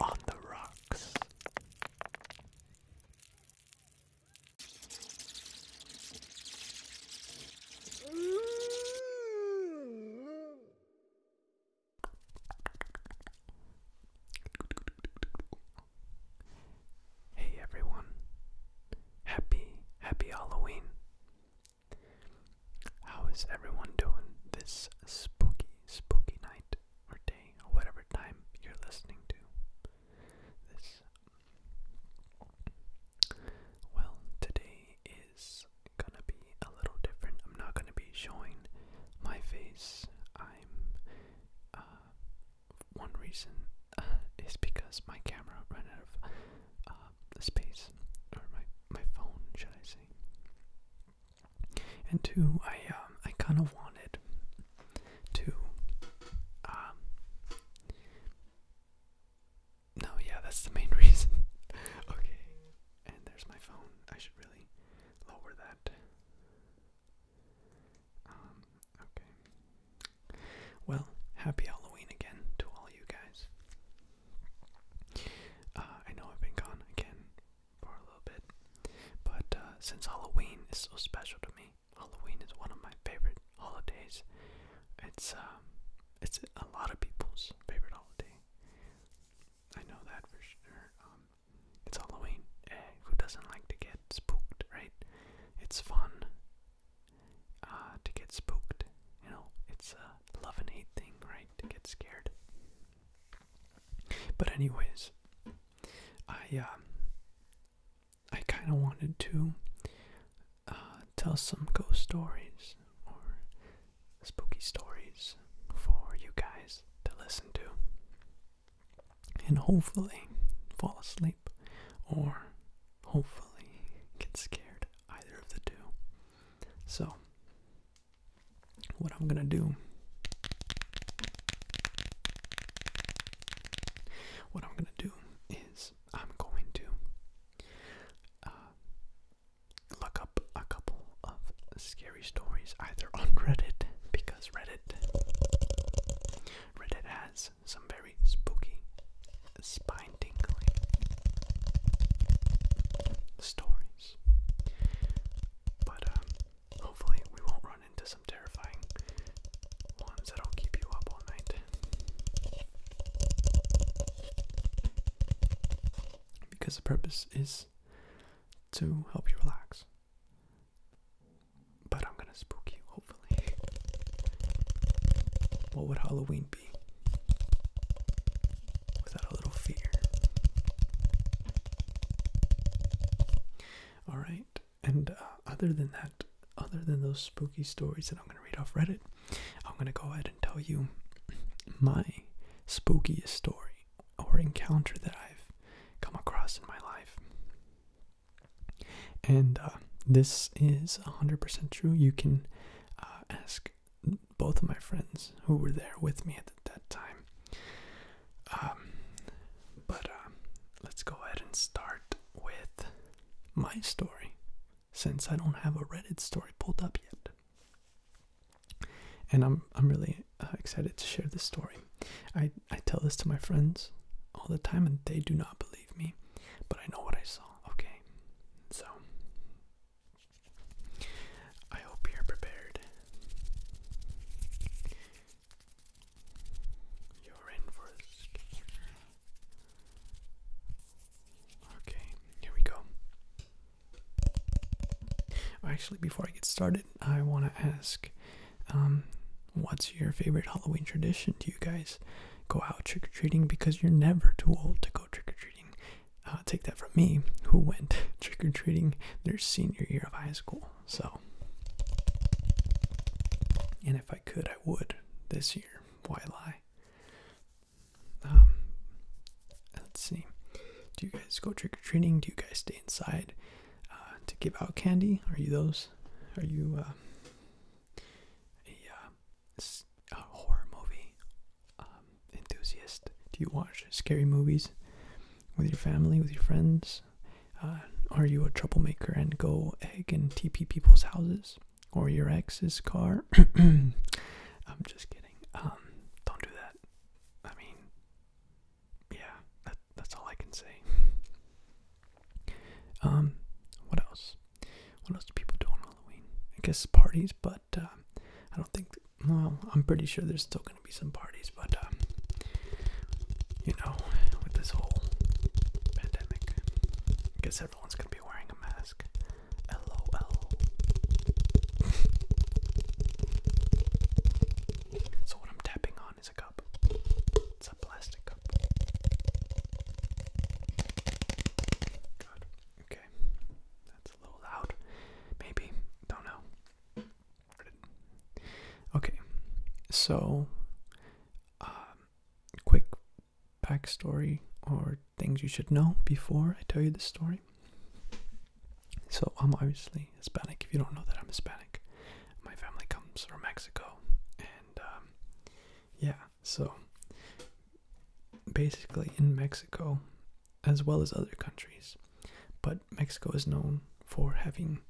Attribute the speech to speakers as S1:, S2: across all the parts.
S1: on the rocks. Hey everyone. Happy, happy Halloween. How is everyone doing this spooky, spooky night or day or whatever time you're listening to? This. Well, today is gonna be a little different. I'm not gonna be showing my face. I'm. Uh, one reason uh, is because my camera ran out of uh, space, or my my phone, should I say? And two, I um, I kind of wanted to. Um, no, yeah, that's the main reason. okay, and there's my phone. I should really lower that. Um, okay. Well, happy Halloween again to all you guys. Uh, I know I've been gone again for a little bit, but uh, since Halloween is so special to me, Halloween is one of my favorite holidays. It's um, it's a lot of people's favorite holiday. I know that for sure. Um, it's Halloween. Eh, who doesn't like to get spooked, right? It's fun uh, to get spooked. You know, it's uh, love and hate thing, right? To get scared. But anyways, I um, I kind of wanted to uh, tell some ghost stories or spooky stories for you guys to listen to, and hopefully fall asleep or hopefully get scared. Either of the two. So what I'm gonna do. What I'm gonna do is I'm going to uh, look up a couple of scary stories either on Reddit because Reddit Reddit has some very spooky, spine tingling stories. But um, hopefully, we won't run into some terrifying ones that'll keep you up all night. Because the purpose is to help you relax. But I'm gonna spook you, hopefully. What would Halloween without a little fear. All right, and uh, other than that, other than those spooky stories that I'm going to read off Reddit, I'm going to go ahead and tell you my spookiest story or encounter that I've come across in my life. And uh, this is 100% true. You can uh, ask both of my friends who were there with me at that time. Um, but uh, let's go ahead and start with my story, since I don't have a Reddit story pulled up yet. And I'm I'm really uh, excited to share this story. I I tell this to my friends all the time, and they do not believe me, but I know what I saw. Okay, so I hope you're prepared. You're in first. Okay, here we go. Actually, before I get started, I want to ask um, what's your favorite Halloween tradition? Do you guys go out trick or treating? Because you're never too old to go trick or treating. Uh, take that from me, who went trick or treating their senior year of high school. So, and if I could, I would this year. Why lie? Um, let's see. Do you guys go trick or treating? Do you guys stay inside uh, to give out candy? Are you those? Are you uh, a horror movie um, enthusiast? Do you watch scary movies with your family, with your friends? Uh, are you a troublemaker and go egg and TP people's houses or your ex's car? I'm just kidding. Um, don't do that. I mean, yeah, that's all I can say. Um, what else? What else do people do on Halloween? I guess parties, but uh, I don't think well, I'm pretty sure there's still going to be some parties, but um, you know, with this whole pandemic, I guess everyone's going to be wearing a mask. LOL. so, what I'm tapping on is a cup, it's a plastic cup. Good. Okay a little loud. Maybe. Don't know. Okay. So, um, quick backstory or things you should know before I tell you the story. So, I'm obviously Hispanic. If you don't know that I'm Hispanic, my family comes from Mexico. And, um, yeah, so basically in Mexico, as well as other countries. But Mexico is known for having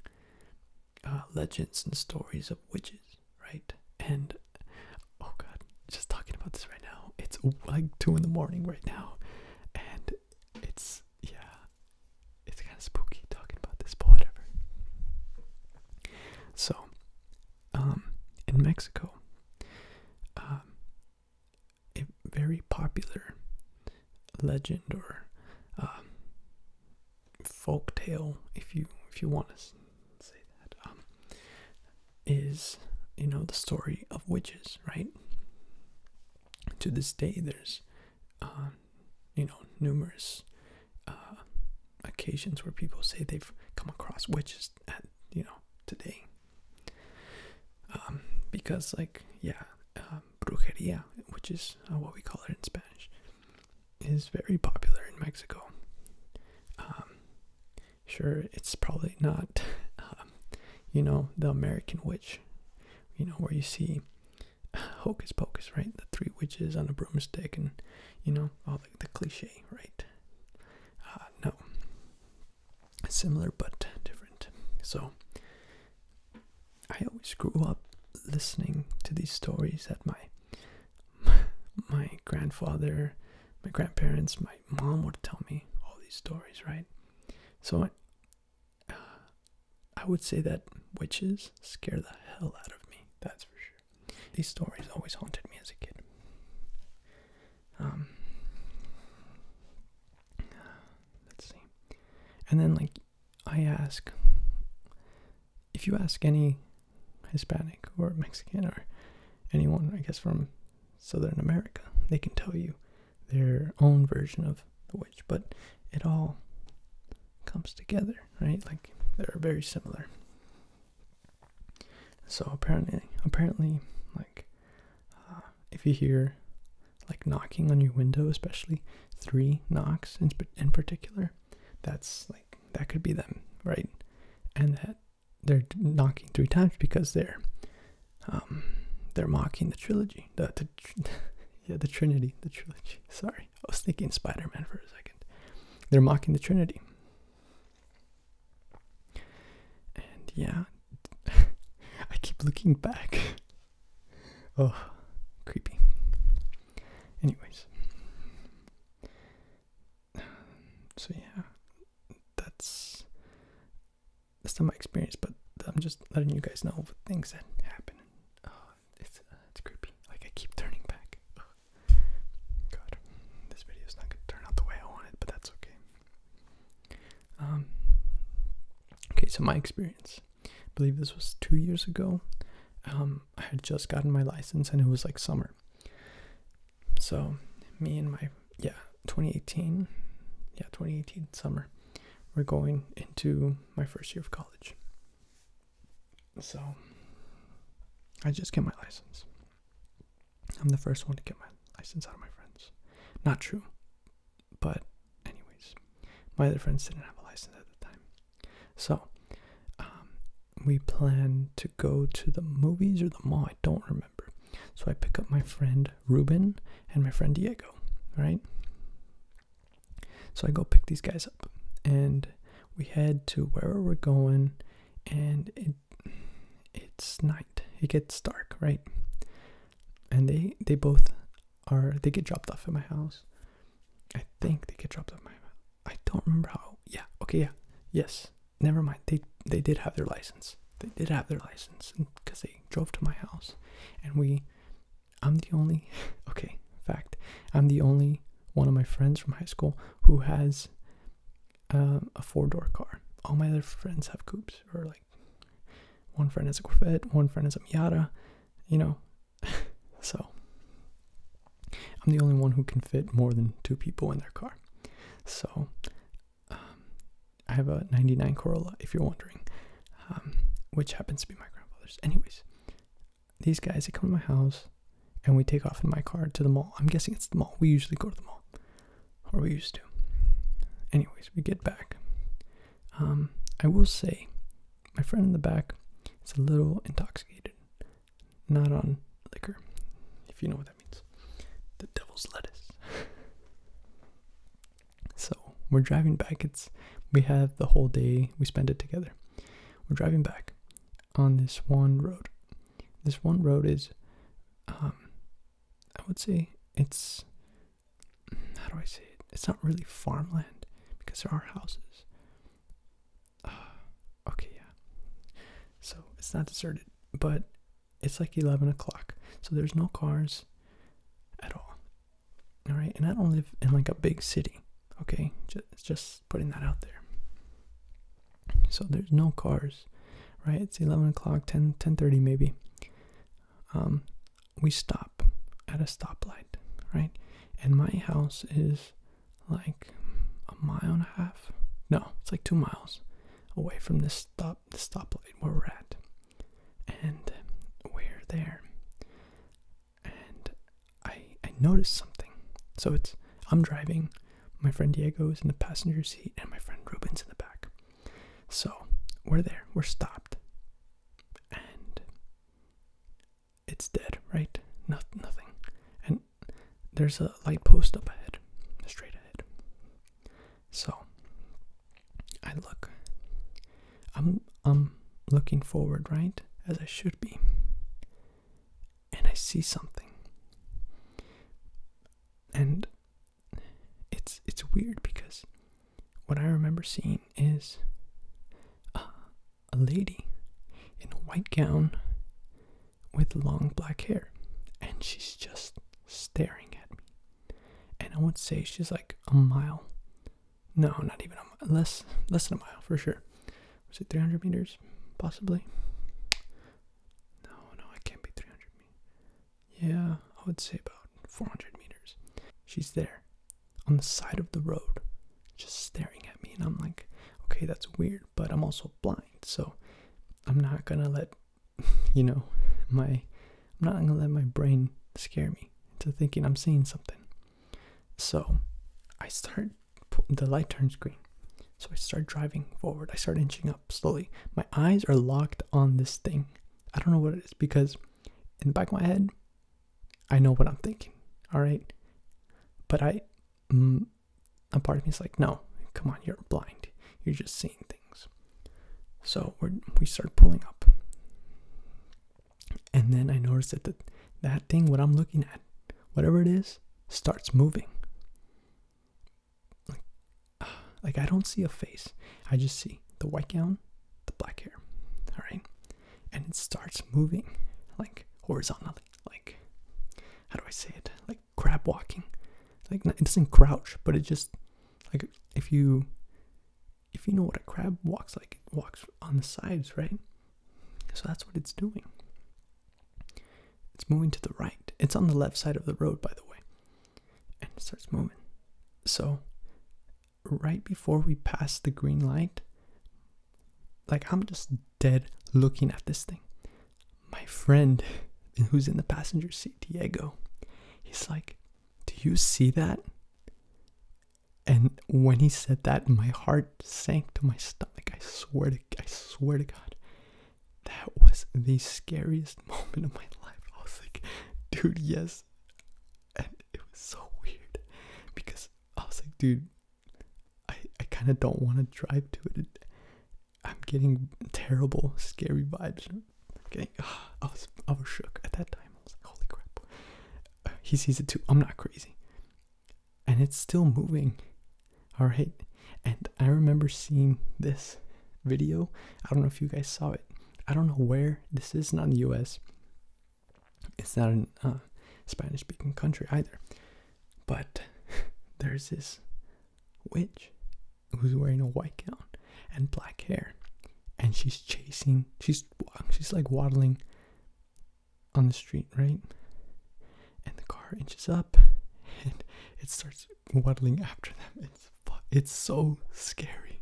S1: uh, legends and stories of witches, right? And oh god, just talking about this right now. It's like two in the morning right now, and it's yeah, it's kind of spooky talking about this, but whatever. So, um, in Mexico, um, a very popular legend or um, folk tale, if you if you want to say that, um, is you know the story of witches, right? To this day, there's um, you know numerous uh, occasions where people say they've come across witches you know today um, because like yeah um, brujeria which is uh, what we call it in spanish is very popular in mexico um, sure it's probably not you know the american witch you know where you see hocus pocus right the three witches on a broomstick and you know all the, cliche right uh, no similar but different. So I always grew up listening to these stories that my my grandfather, my grandparents, my mom would tell me all these stories, right? So I, I would say that witches scare the hell out of me. That's for sure. These stories always haunted me as a kid. Um, let's see. And then, like, I ask if you ask any Hispanic or Mexican or anyone, I guess, from Southern America, they can tell you their own version of the witch, but it all comes together, right? Like they're very similar. So apparently, apparently, like uh, if you hear like knocking on your window, especially three knocks in, in particular, that's like that could be them, right? And that they're knocking three times because they're um, they're mocking the trilogy, the, the yeah the Trinity, the trilogy. Sorry, I was thinking Spider Man for a second. They're mocking the Trinity, and yeah, I keep looking back. Oh, creepy. Anyways. So yeah, that's that's not my experience, but I'm just letting you guys know the things that happen. Oh, it's it's creepy. Like I keep turning back. God, this video is not gonna turn out the way I want but that's okay. Um, okay, so my experience. believe this was two years ago. Um, I had just gotten my license and it was like summer. So, me and my, yeah, 2018, yeah, 2018 summer, we're going into my first year of college. So, I just get my license. I'm the first one to get my license out of my friends. Not true. But, anyways, my other friends didn't have a license at the time. So, um, we plan to go to the movies or the mall, I don't remember. So, I pick up my friend Ruben and my friend Diego, right? So, I go pick these guys up and we head to where we're going and it it's night. It gets dark, right? and they they both are they get dropped off at my house. I think they get dropped off my house. I don't remember how. Yeah. Okay. Yeah. Yes. Never mind. They they did have their license. They did have their license because they drove to my house, and we. I'm the only. Okay. Fact. I'm the only one of my friends from high school who has um, a four door car. All my other friends have coupes or like one friend has a Corvette, one friend has a Miata, you know. so I'm the only one who can fit more than two people in their car. So um, I have a 99 Corolla, if you're wondering, um, which happens to be my grandfather's. Anyways, these guys, they come to my house and we take off in my car to the mall. I'm guessing it's the mall. We usually go to the mall or we used to. Anyways, we get back. Um, I will say, my friend in the back is a little intoxicated, not on liquor, if you know what that means. The devil's lettuce. so we're driving back. It's we have the whole day. We spend it together. We're driving back on this one road. This one road is, um, I would say it's how do I say it? It's not really farmland because there are houses. okay, yeah. So it's not deserted, but it's like 11 o'clock. So there's no cars at all. All right. And I don't live in like a big city. Okay. Just, just putting that out there. So there's no cars, right? It's 11 o'clock, 10, 10.30 maybe. Um, we stop at a stoplight, right? And my house is like a mile and a half. No, it's like two miles away from this stop, the stoplight where we're at, and we're there. And I I noticed something. So it's I'm driving, my friend Diego is in the passenger seat, and my friend Ruben's in the back. So we're there, we're stopped. And it's dead, right? Not, nothing. And there's a light post up ahead, straight ahead. So I look. I'm I'm looking forward, right? As I should be. And I see something. And it's it's weird because what I remember seeing is uh, a, lady in a white gown with long black hair, and she's just staring at me. And I would say she's like a mile, no, not even a mile, less less than a mile for sure. Was it 300 meters, possibly? No, no, it can't be 300 meters. Yeah, I would say about 400 meters. She's there on the side of the road, just staring at me. And I'm like, okay, that's weird, but I'm also blind. So I'm not gonna let, you know, my, I'm not gonna let my brain scare me into thinking I'm seeing something. So I start, the light turns green. So I start driving forward. I start inching up slowly. My eyes are locked on this thing I don't know what it is because in the back of my head, I know what I'm thinking. All right. But ia mm, part of me is like, no, come on, you're blind. You're just seeing things. So we we start pulling up. And then I notice that the, that thing, what I'm looking at, whatever it is, starts moving. like I don't see a face. I just see the white gown, the black hair. All right. And it starts moving like horizontally. Like, how do I say it? Like crab walking. Like, it doesn't crouch, but it just, like, if you, if you know what a crab walks like, it walks on the sides, right? So that's what it's doing. It's moving to the right. It's on the left side of the road, by the way and it starts moving. So, right before we pass the green light, like I'm just dead looking at this thing. My friend who's in the passenger seat, Diego, he's like, Do you see that? And when he said that, my heart sank to my stomach. I swear to I swear to God. That was the scariest moment of my life. I was like, dude, yes, and it was so weird because I was like, dude, I, I kind of don't want to drive to it. I'm getting terrible, scary vibes. Okay, I was I was shook at that time. I was like, crap. Uh, he sees it too. I'm not crazy. And it's still moving. All right. And I remember seeing this video. I don't know if you guys saw it. I don't know where this is not in the U.S. It's not a uh, Spanish-speaking country either, but there's this witch who's wearing a white gown and black hair, and she's chasing. She's um, she's like waddling on the street, right? And the car inches up, and it starts waddling after them. It's it's so scary.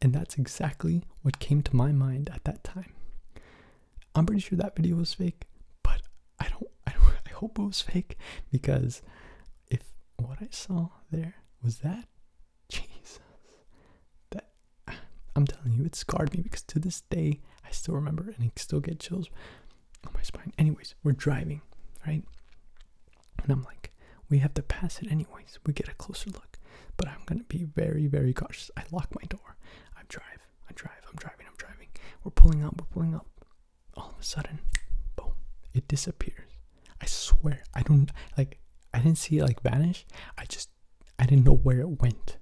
S1: And that's exactly what came to my mind at that time. I'm pretty sure that video was fake, but I don't I hope it was fake because if what I saw there was that Jesus that I'm telling you it scarred me because to this day I still remember and still get chills on my spine. Anyways, we're driving, right? And I'm like, we have to pass it anyways. We get a closer look. But I'm going to be very, very cautious. I lock my door. I drive. I drive. I'm driving. I'm driving. We're pulling up. We're pulling up. All of a sudden, boom, it disappears. I swear, I don't, like, I didn't see it, like, vanish. I just, I didn't know where it went.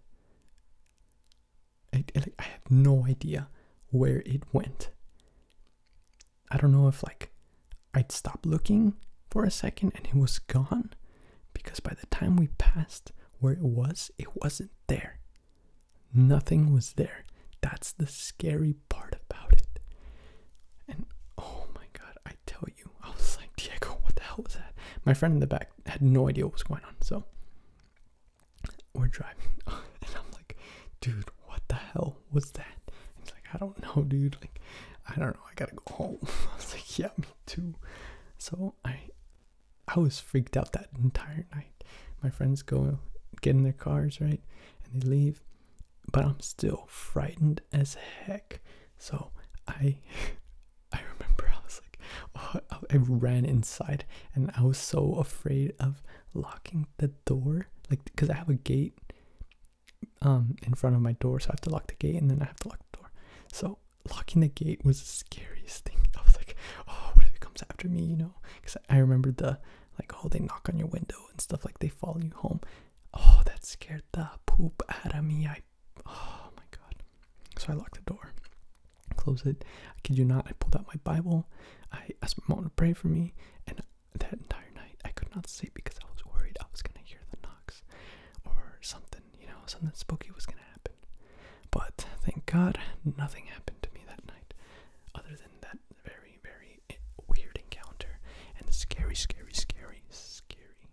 S1: I, I, I have no idea where it went. I don't know if like I'd stop looking for a second and it was gone because by the time we passed where it was, it wasn't there. Nothing was there. That's the scary part about it. And oh my god, I tell you, I was like, Diego, what the hell was that? My friend in the back had no idea what was going on. So we're driving and I'm like, dude, what the hell What's that? And he's like, I don't know, dude. Like, I don't know. I gotta go home. I was like, yeah, me too. So I, I was freaked out that entire night. My friends go get in their cars, right, and they leave, but I'm still frightened as heck. So I, I remember I was like, oh, I ran inside, and I was so afraid of locking the door, like, cause I have a gate um, in front of my door, so I have to lock the gate and then I have to lock the door. So locking the gate was the scariest thing. I was like, oh, what if it comes after me, you know? Because I remember the, like, oh, they knock on your window and stuff, like, they follow you home. Oh, that scared the poop out of me. I, oh my God. So I locked the door, closed it. I kid you not, I pulled out my Bible. I asked my mom to pray for me, and that entire night I could not sleep because I was worried I was gonna hear the knocks or something, you know, something spooky was gonna happen. But thank God nothing happened to me that night other than that very, very weird encounter and scary, scary, scary, scary.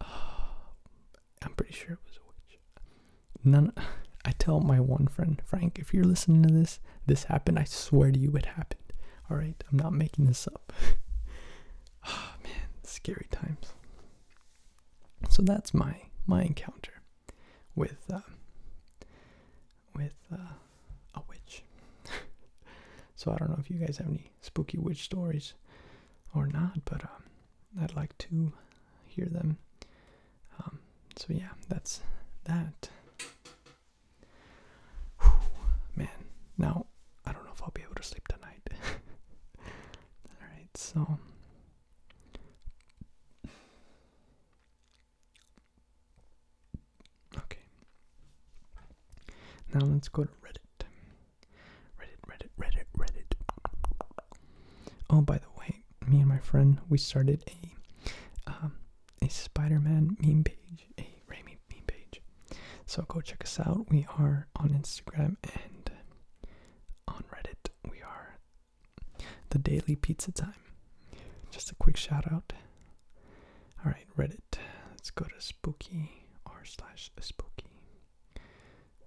S1: Um, I'm pretty sure it was a witch. None. I tell my one friend, Frank, if you're listening to this, this happened. I swear to you, it happened. All right, I'm not making this up. oh man, scary times. So that's my my encounter with uh, with uh, a witch. so I don't know if you guys have any spooky witch stories or not, but um, I'd like to hear them. Um, so yeah, that's that. Whew, man, now I don't know if I'll be able to sleep tonight. Alright, so. Okay. Now let's go to Reddit. Reddit, Reddit, Reddit, Reddit. Oh, by the way, me and my friend, we started a um, a Spider-Man meme page, a Raimi meme page. So go check us out. We are on Instagram and on Reddit. We are the Daily Pizza Time. Just a quick shout out. All right, Reddit. Let's go to spooky r slash spooky.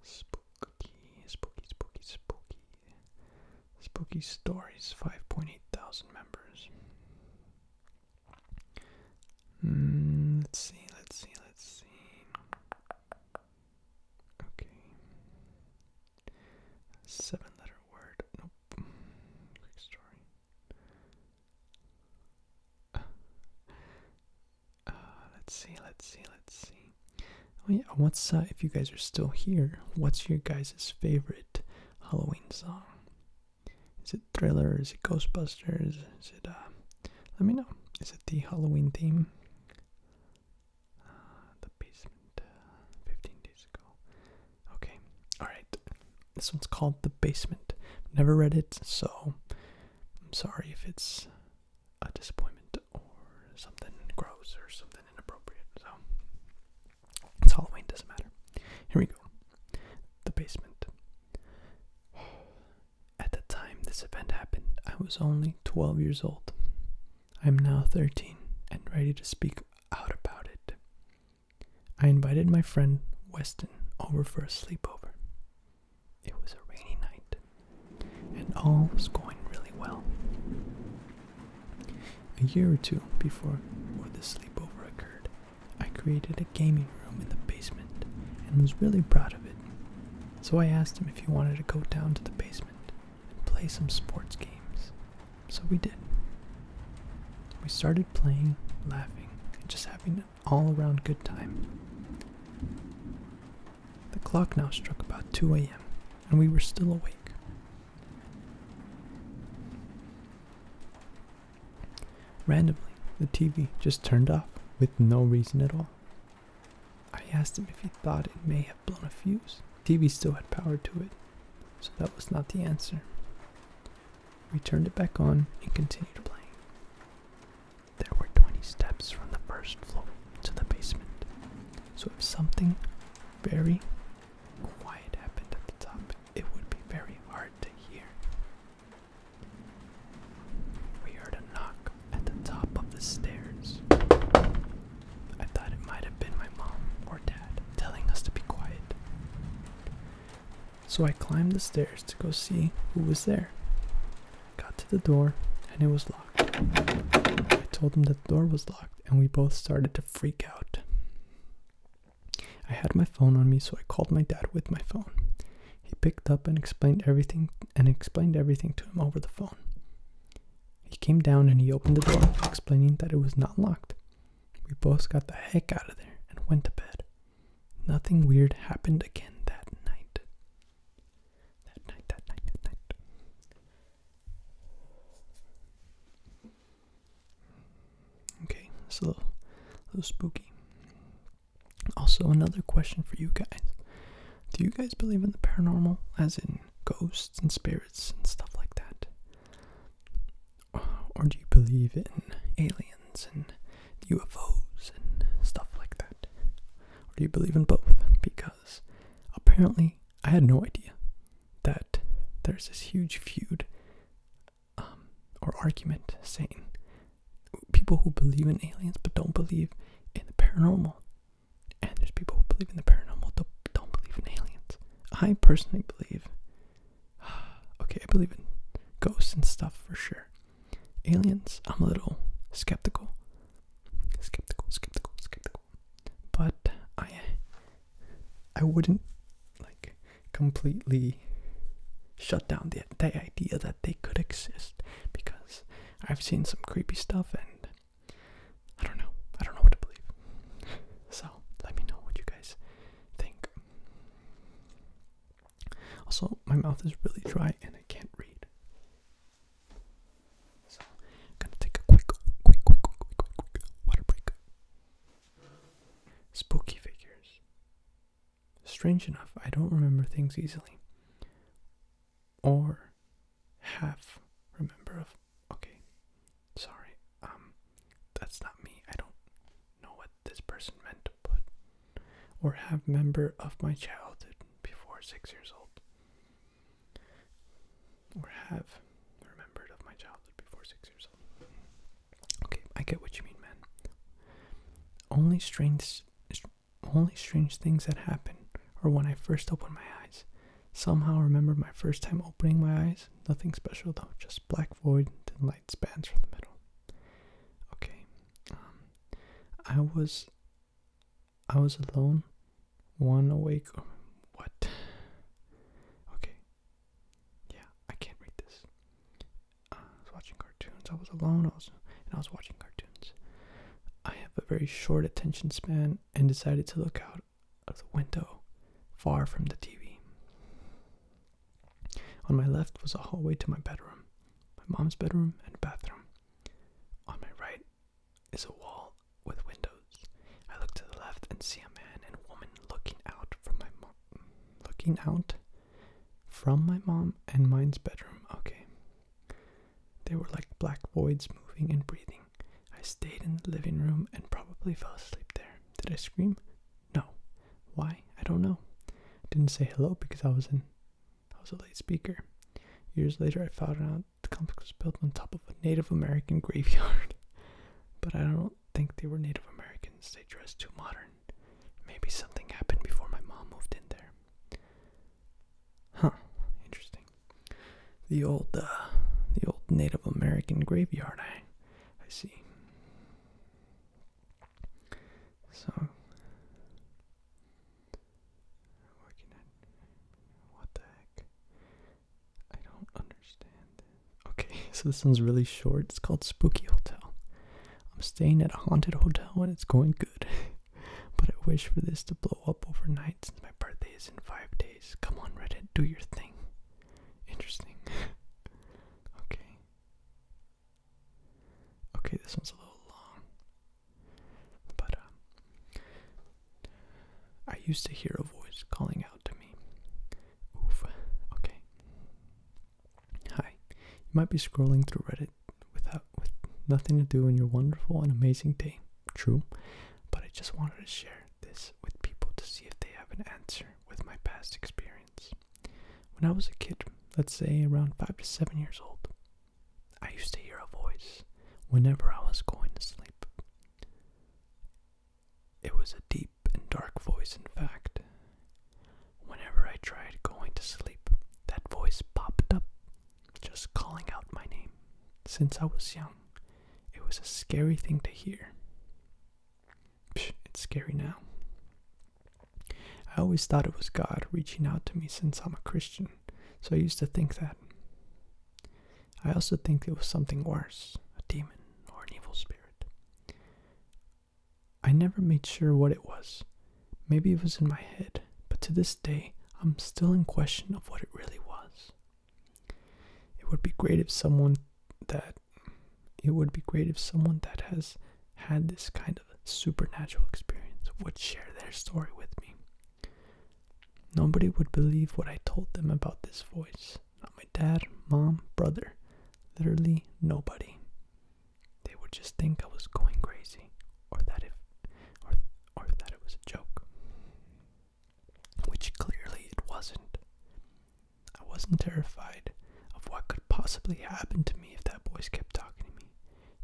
S1: Spooky, spooky, spooky, spooky. Spooky Stories, 5.8 thousand members. Hmm, let's see, let's see, let's see. Okay. Seven letter word. Nope. Quick story. Uh, uh, let's see, let's see, let's see. Oh yeah, what's uh, if you guys are still here, what's your guys' favorite Halloween song? Is it Thriller? Is it Ghostbusters? Is it, uh, let me know. Is it the Halloween theme? Uh, the Basement, uh, 15 days ago. Okay, alright. This one's called The Basement. Never read it, so I'm sorry if it's a disappointment or something gross or something inappropriate. So, it's Halloween, doesn't matter. Here we go the basement. At the time this event happened, I was only 12 years old. I'm now 13 and ready to speak out about it. I invited my friend Weston over for a sleepover. It was a rainy night, and all was going really well. A year or two before the sleepover occurred, I created a gaming room in the basement and was really proud of it. So I asked him if he wanted to go down to the basement and play some sports games. So we did. We started playing, laughing, and just having an all around good time. The clock now struck about 2 a.m., and we were still awake. Randomly, the TV just turned off with no reason at all. I asked him if he thought it may have blown a fuse. The TV still had power to it, so that was not the answer. We turned it back on and continued playing. There were 20 steps from the first floor to the basement, so if something very quiet happened at the top, it would be very hard to hear. We heard a knock at the top of the stairs. I thought it might have been my mom or dad telling us to be quiet. So I climbed the stairs to go see who was there. Got to the door and it was locked. I told him that door was locked and we both started to freak out. I had my phone on me, so I called my dad with my phone. He picked up and explained everything and explained everything to him over the phone. He came down and he opened the door, explaining that it was not locked. We both got the heck out of there and went to bed. Nothing weird happened again that night. That night, that night, that night. Okay, so a little, a little spooky. Also, another question for you guys. Do you guys believe in the paranormal, as in ghosts and spirits and stuff like that? Or do you believe in aliens and UFOs and stuff like that? Or do you believe in both? Because apparently I had no idea that there's this huge feud um, or argument saying people who believe in aliens but don't believe in the paranormal, and there's people who believe in the paranormal but don't believe in aliens. I personally believe, okay, I believe in ghosts and stuff for sure. Aliens, I'm a little skeptical, skeptical, skeptical, skeptical. But I, I wouldn't like completely shut down the, the idea that they could exist because I've seen some creepy stuff and I don't know. I don't know what to believe. So let me know what you guys think. Also, my mouth is really dry and I can't read. So gonna take a quick, quick, quick, quick, quick, quick water break. Spooky figures. Strange enough, I don't remember things easily. Or have remember of. Okay, sorry. Um, that's not me. I don't know what this person meant to put. Or have member of my childhood before six years old. Or have remembered of my childhood before six years old. Okay, I get what you mean, man. Only strange, only strange things that happen Or when I first open my eyes. Somehow remember my first time opening my eyes. Nothing special though, just black void, then light spans from the middle. Okay, um, I was, I was alone, one awake. Oh, what? Okay, yeah, I can't read this. I was watching cartoons. I was alone. I was and I was watching cartoons. I have a very short attention span and decided to look out of the window, far from the TV. On my left was a hallway to my bedroom, my mom's bedroom and bathroom. On my right is a wall with windows. I look to the left and see a man and woman looking out from my mom, looking out from my mom and mine's bedroom. Okay. They were like black voids moving and breathing. I stayed in the living room and probably fell asleep there. Did I scream? No. Why? I don't know. didn't say hello because I was in I was a late speaker. Years later I found out the complex was built on top of a Native American graveyard. but I don't think they were Native Americans. They dressed too modern. Maybe something happened before my mom moved in there. Huh, interesting. The old, uh, the old Native American graveyard, I, I see. So, working at, what the heck? I don't understand. Okay, so this one's really short. It's called Spooky Hotel. I'm staying at a haunted hotel and it's going good. but I wish for this to blow up overnight since my birthday is in five days. Come on, Reddit, do your thing. Interesting. okay. Okay, this one's a little long. But, um, I used to hear a voice calling out to me. Okay. Hi, you might be scrolling through Reddit without with nothing to do in your wonderful and amazing day. True, but I just wanted to share this with people to see if they have an answer with my past experience. When I was a kid, let's say around five to seven years old, I used to hear a voice whenever I was going to sleep. It was a deep and dark voice, in fact, Whenever I tried going to sleep, that voice popped up, just calling out my name. Since I was young, it was a scary thing to hear. it's scary now. I always thought it was God reaching out to me since I'm a Christian, so I used to think that. I also think it was something worse, a demon or an evil spirit. I never made sure what it was. Maybe it was in my head, but to this day, I'm still in question of what it really was. It would be great if someone that it would be great if someone that has had this kind of supernatural experience would share their story with me. Nobody would believe what I told them about this voice. Not my dad, mom, brother. Literally nobody. They would just think I was going crazy, or that if, or or that it was a joke, which clearly it wasn't. I wasn't terrified of what could possibly happen to me if that voice kept talking to me.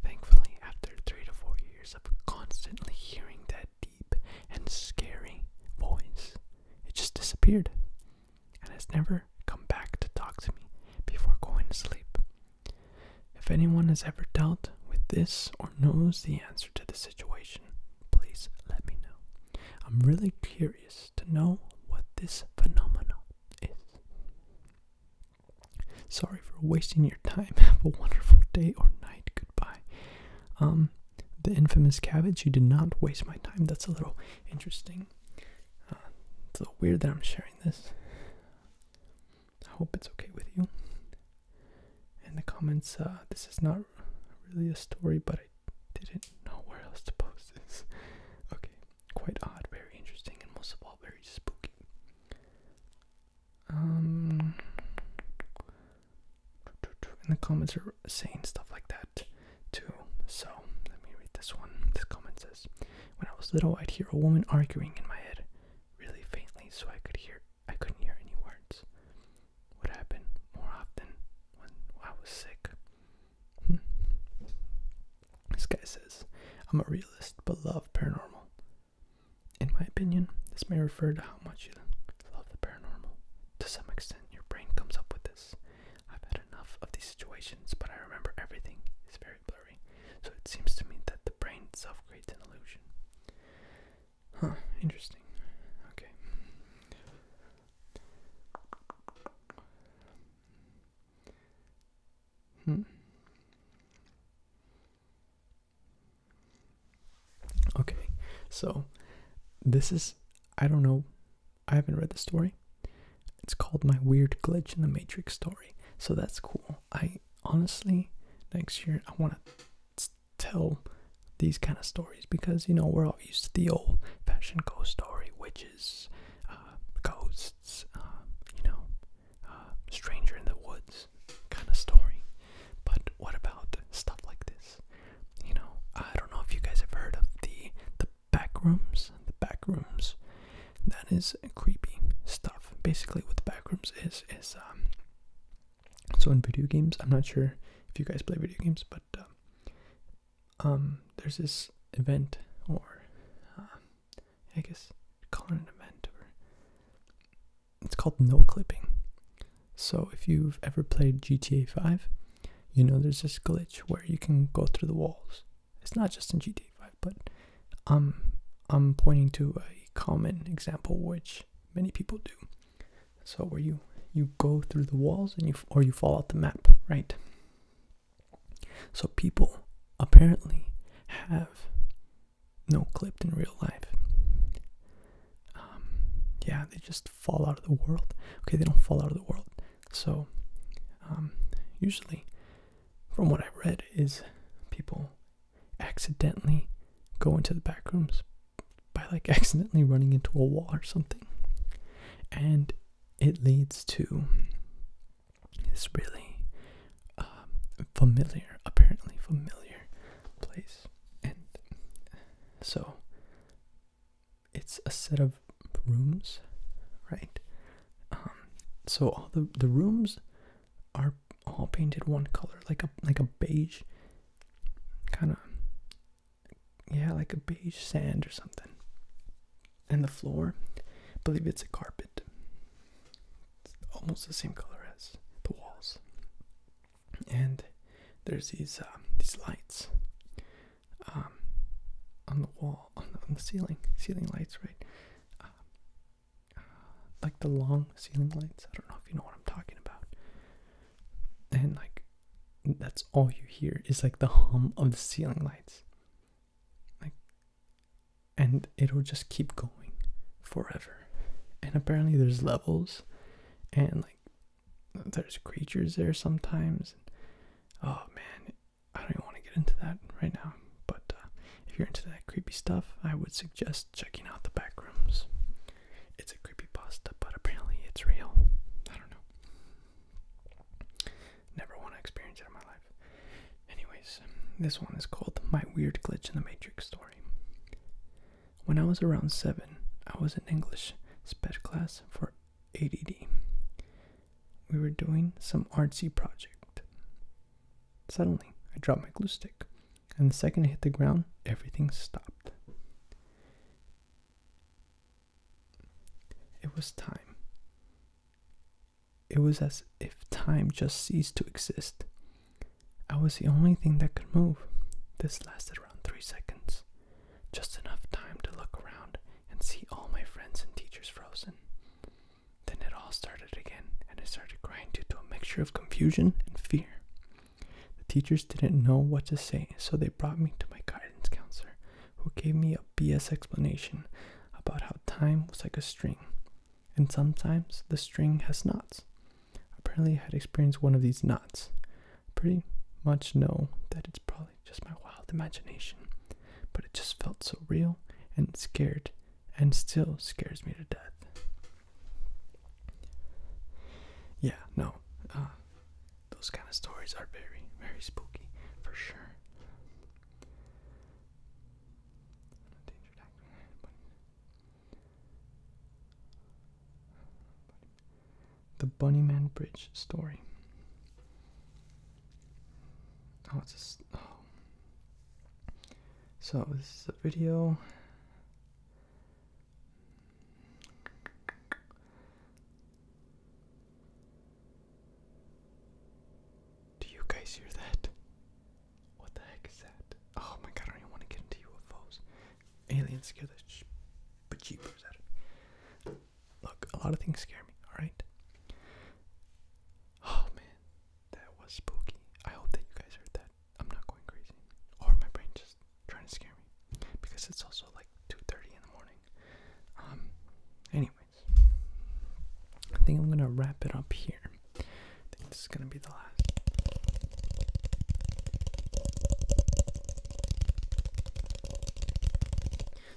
S1: Thankfully, after three to four years of constantly hearing that deep and scary voice, it just disappeared and has never come back to talk to me before going to sleep. If anyone has ever dealt with this or knows the answer to the situation, please let me know. I'm really curious to know what this phenomenon is. Sorry for wasting your time. Have a wonderful day or night. Goodbye. Um, the infamous cabbage, you did not waste my time. That's a little interesting it's a little weird that I'm sharing this. I hope it's okay with you. In the comments, uh, this is not really a story, but I didn't know where else to post this. Okay, quite odd, very interesting, and most of all, very spooky. Um, in the comments are saying stuff like that too. So let me read this one. This comment says, "When I was little, I'd hear a woman arguing in my head, really faintly, so I could hear. I couldn't hear any words. Would happen more often when I was sick." Hmm. This guy says, "I'm a realist, but love paranormal." In my opinion, this may refer to how much you love the paranormal. To some extent, your brain comes up with this. I've had enough of these situations, but I remember everything is very blurry, so it seems to me that the brain self creates an illusion. Huh, interesting. Okay. Hmm. Okay, so this is, I don't know I haven't read the story. It's called My Weird Glitch in the Matrix Story. So that's cool. I honestly, next year, I want to tell these kind of stories because, you know, we're all used to the old fashioned ghost story witches, uh, ghosts, um, you know, uh, stranger in the woods kind of story. But what about stuff like this? You know, I don't know if you guys have heard of the Backrooms, The back That is creepy stuff. Basically, what the backrooms is is um. So in video games, I'm not sure if you guys play video games, but uh, um, there's this event or uh, I guess call it an event or it's called no clipping. So if you've ever played GTA 5, you know there's this glitch where you can go through the walls it's not just in GTA 5, but I'm I'm pointing to a common example which many people do. So where you you go through the walls and you or you fall out the map, right? So people apparently have no clipped in real life. Um, yeah, they just fall out of the world. Okay, they don't fall out of the world. So um, usually from what i read, is people accidentally go into the back rooms by like accidentally running into a wall or something. And it leads to this really um, familiar, apparently familiar place. And so it's a set of rooms, right? Um, so all the the rooms are all painted one color, like a like a beige kind of yeah, like a beige sand or something. And the floor, believe it's a carpet. almost the same color as the walls. And there's these uh, these lights um, on the wall on the, ceiling, ceiling lights, right? Uh, like the long ceiling lights. I don't know if you know what I'm talking about. And like, that's all you hear is like the hum of the ceiling lights. Like, and it'll just keep going forever. And apparently, there's levels, and like, there's creatures there sometimes. And, oh man, I don't want to get into that right now, but uh, if you're into that creepy stuff, I would suggest checking out the back rooms. It's a creepy pasta, but apparently it's real. I don't know. Never want to experience it in my life. Anyways, this one is called My Weird Glitch in the Matrix Story. When I was around seven, I was in English sped class for ADD we were doing some artsy project. Suddenly, I dropped my glue stick, and the second I hit the ground, everything stopped. It was time. It was as if time just ceased to exist. I was the only thing that could move. This lasted around three seconds, just enough time to look around and see all my friends and teachers frozen. Then it all started again, and I started crying due to a mixture of confusion and fear. The teachers didn't know what to say, so they brought me to my guidance counselor, who gave me a BS explanation about how time was like a string, and sometimes the string has knots. Apparently, I had experienced one of these knots. Pretty much know that it's probably just my wild imagination, but it just felt so real and scared and still scares me to death. Yeah, no, uh, those kind of stories are very, very spooky for sure. The Bunnyman Bridge story. Oh, it's a. Oh. So, this is a video. Do you guys hear that? What the heck is that? Oh my god, I don't even want to get into UFOs. Aliens scare the sh- Look, a lot of things scare me, alright? Oh man, that was spooky. I hope that you guys heard that. I'm not going crazy. Or my brain just trying to scare me. Because it's also like 2.30 in the morning. Um, anyways. I think I'm gonna wrap it up here. I think this is gonna be the last.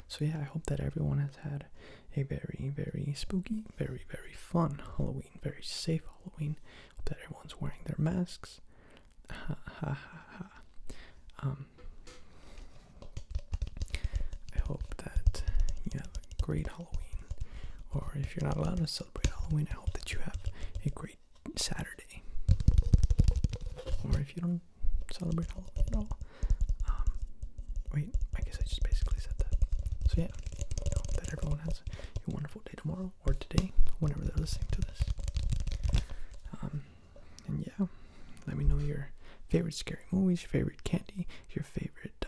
S1: So yeah, I hope that everyone has had had a very, very spooky, very, very fun Halloween, very safe Halloween. Hope that everyone's wearing their masks. Ha ha ha ha. Um, I hope that you have a great Halloween. Or if you're not allowed to celebrate Halloween, I hope that you have a great Saturday. Or if you don't celebrate Halloween at all, um, wait, I guess I just basically said that. So yeah, that everyone has a wonderful day tomorrow or today, whenever they're listening to this. Um, and yeah, let me know your favorite scary movies, your favorite candy, your favorite,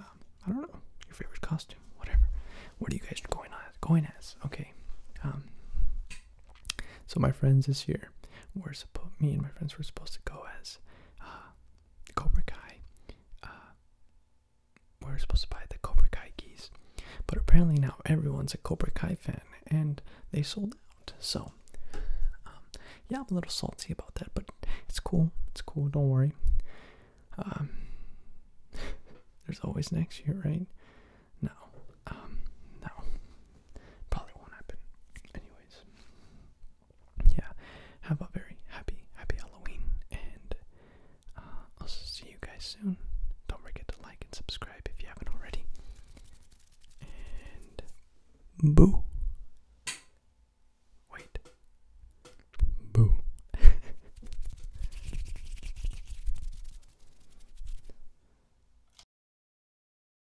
S1: um, I don't know, your favorite costume, whatever. What are you guys going as? Going as? Okay. so my friends is here year. We're supposed, me and my friends were supposed to go as uh, Cobra Kai. we uh, were supposed to buy the Cobra Kai geese, but apparently now everyone's a Cobra Kai fan, and they sold out. So, um, yeah, I'm a little salty about that, but it's cool. It's cool. Don't worry. Um, there's always next year, right? No, um, no, Probably won't happen. Anyways, yeah. Have a very happy, happy Halloween, and uh, I'll see you guys soon. Don't forget to like and subscribe if you haven't already. And boo. Wait. Boo.